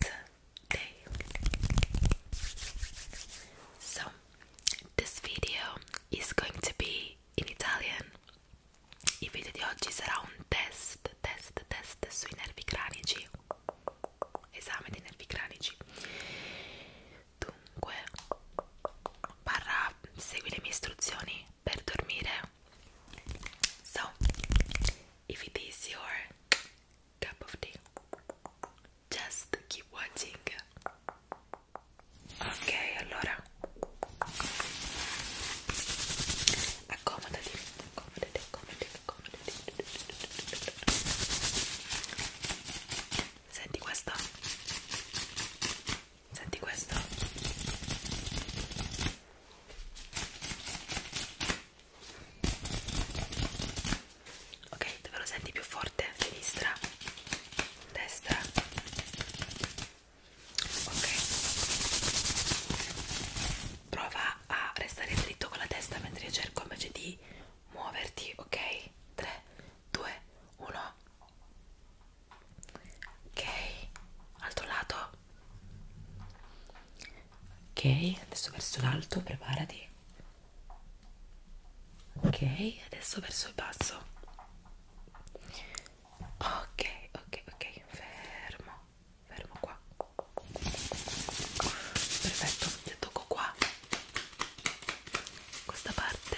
day. So, this video is going to be in Italian. Il video di oggi sarà un test, test, test sui nervi cranici. Esame dei nervi cranici. Dunque, barra, segui le mie istruzioni per dormire. So, if it is your cup of tea. Just keep watching. Ok, allora accomodati, accomodati, accomodati, accomodati. Senti questo? Senti questo? ok dove lo senti più forte sinistra destra ok prova a restare dritto con la testa mentre io cerco invece di muoverti ok 3 2 1 ok altro lato ok adesso verso l'alto preparati ok adesso verso il basso ok ok ok fermo fermo qua perfetto se tocco qua questa parte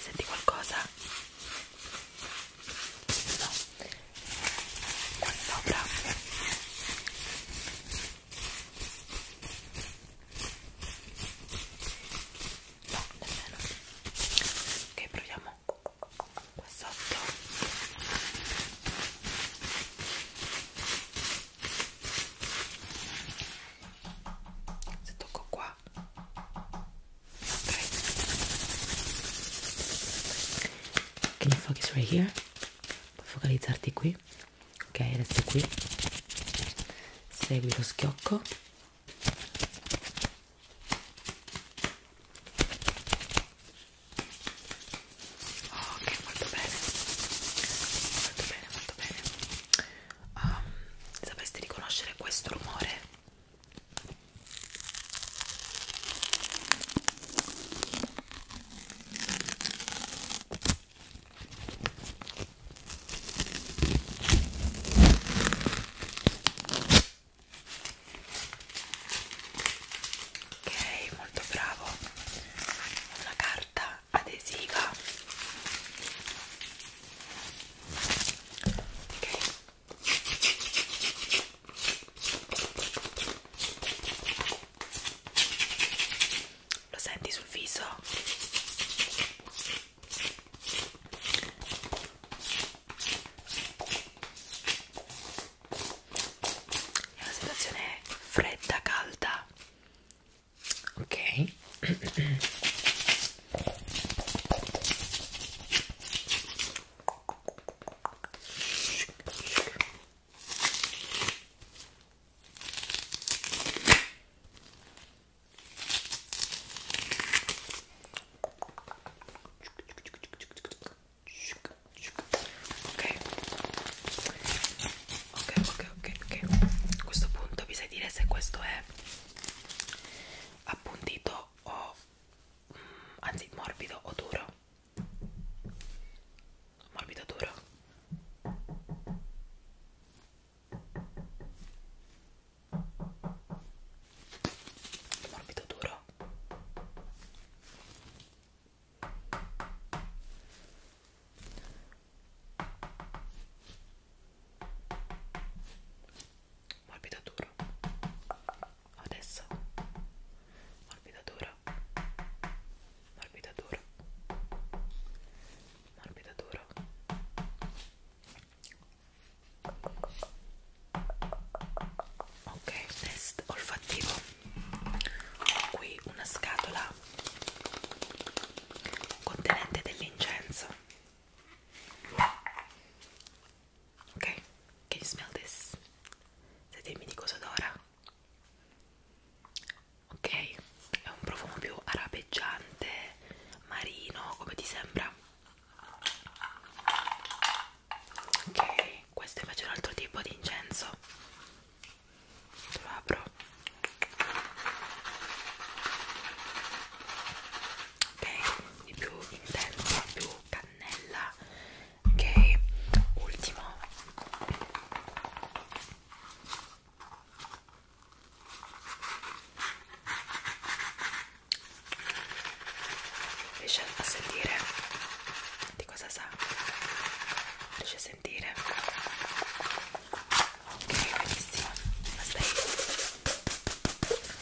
senti qualcosa no qua sopra no, nemmeno ok, proviamo qua sotto se tocco qua Okay. Can you focus right here? Puoi focalizzarti qui. Ok, resta qui. Segui lo schiocco. Oh, ok, molto bene. Molto bene, molto bene. Um, sapresti riconoscere questo rumore? Ok, molto bravo. Una carta adesiva. Ok. Lo senti sul viso? È una situazione fredda, calda. Ok. Ok, ok, ok, ok, ok. A questo punto vi sai dire se questo è appuntito o anzi morbido o duro morbido duro morbido duro morbida dura adesso morbida dura morbida dura morbida dura ok test olfattivo ho qui una scatola contenente dell'incenso Ok, can you smell this? Se dirmi di cosa odora? Ok, è un profumo più arabeggiante, marino, come ti sembra? Ok, questo è invece è un altro tipo di incenso. Te lo apro ok quindi più intensa più cannella ok ultimo riesci a sentire di cosa sa riesci a sentire ok benissimo ma stai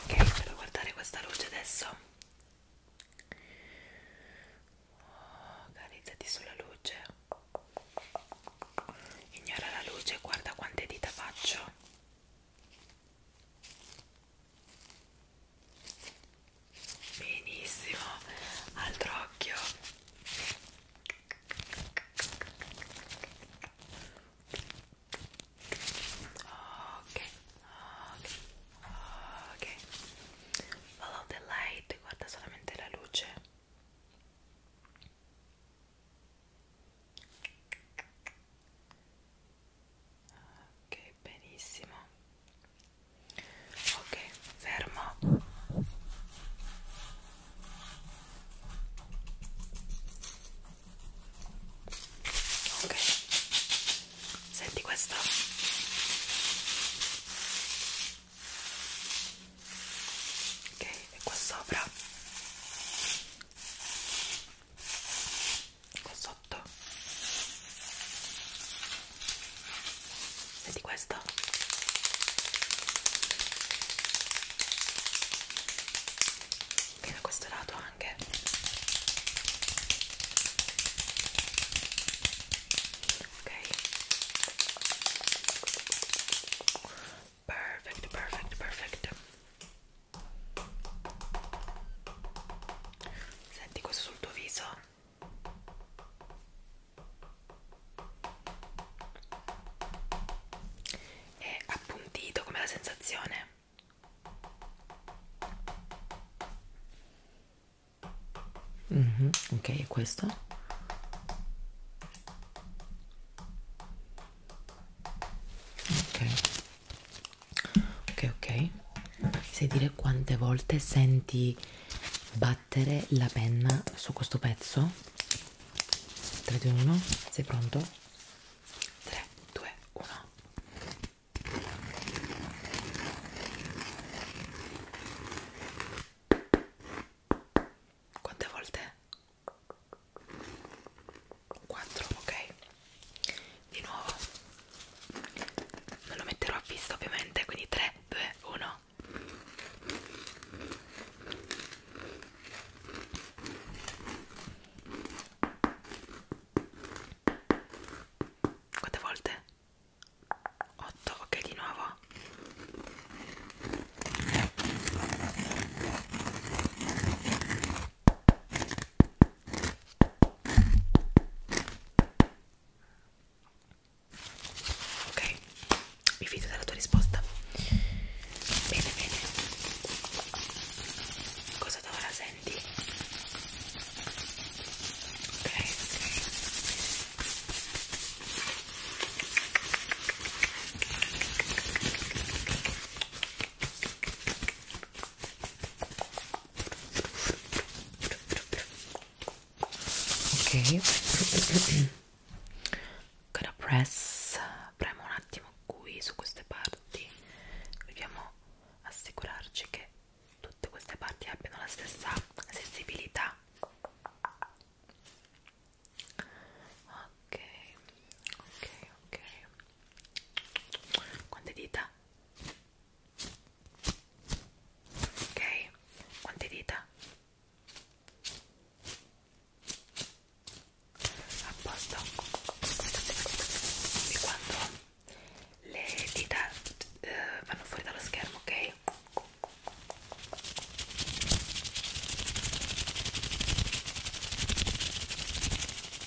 ok spero guardare questa luce adesso organizzati oh, sulla luce ignora la luce guarda quante dita faccio benissimo altro occhio ok ok ok follow the light guarda solamente la luce ok benissimo ok fermo ok senti questo ok e qua sopra qua sotto vedi questo e da questo lato anche ok perfetto perfetto perfetto Senti questo sul tuo viso. È appuntito come la sensazione. Mm -hmm. Ok, e questo? Ok ok ok sai dire quante volte senti battere la penna su questo pezzo 3 2 1 sei pronto 3 2 1 quante volte 4 ok di nuovo non lo metterò a vista ovviamente quindi 3 2 1 quante volte 8 ok di nuovo Ok, mi fido della tua risposta. Bene, bene. Cosa da ora senti? Ok, ok ok ancora press premo un attimo qui su queste parti dobbiamo assicurarci che tutte queste parti abbiano la stessa sensibilità ok ok ok quante dita ok quante dita a posto e quando le dita eh, vanno fuori dallo schermo ok Ok,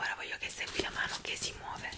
ora voglio che segui la mano che si muove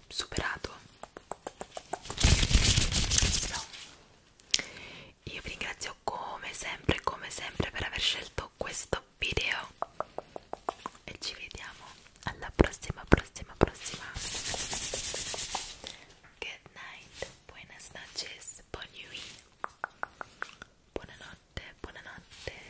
superato no. io vi ringrazio come sempre come sempre per aver scelto questo video e ci vediamo alla prossima prossima prossima good night buenas noches buon buonanotte buonanotte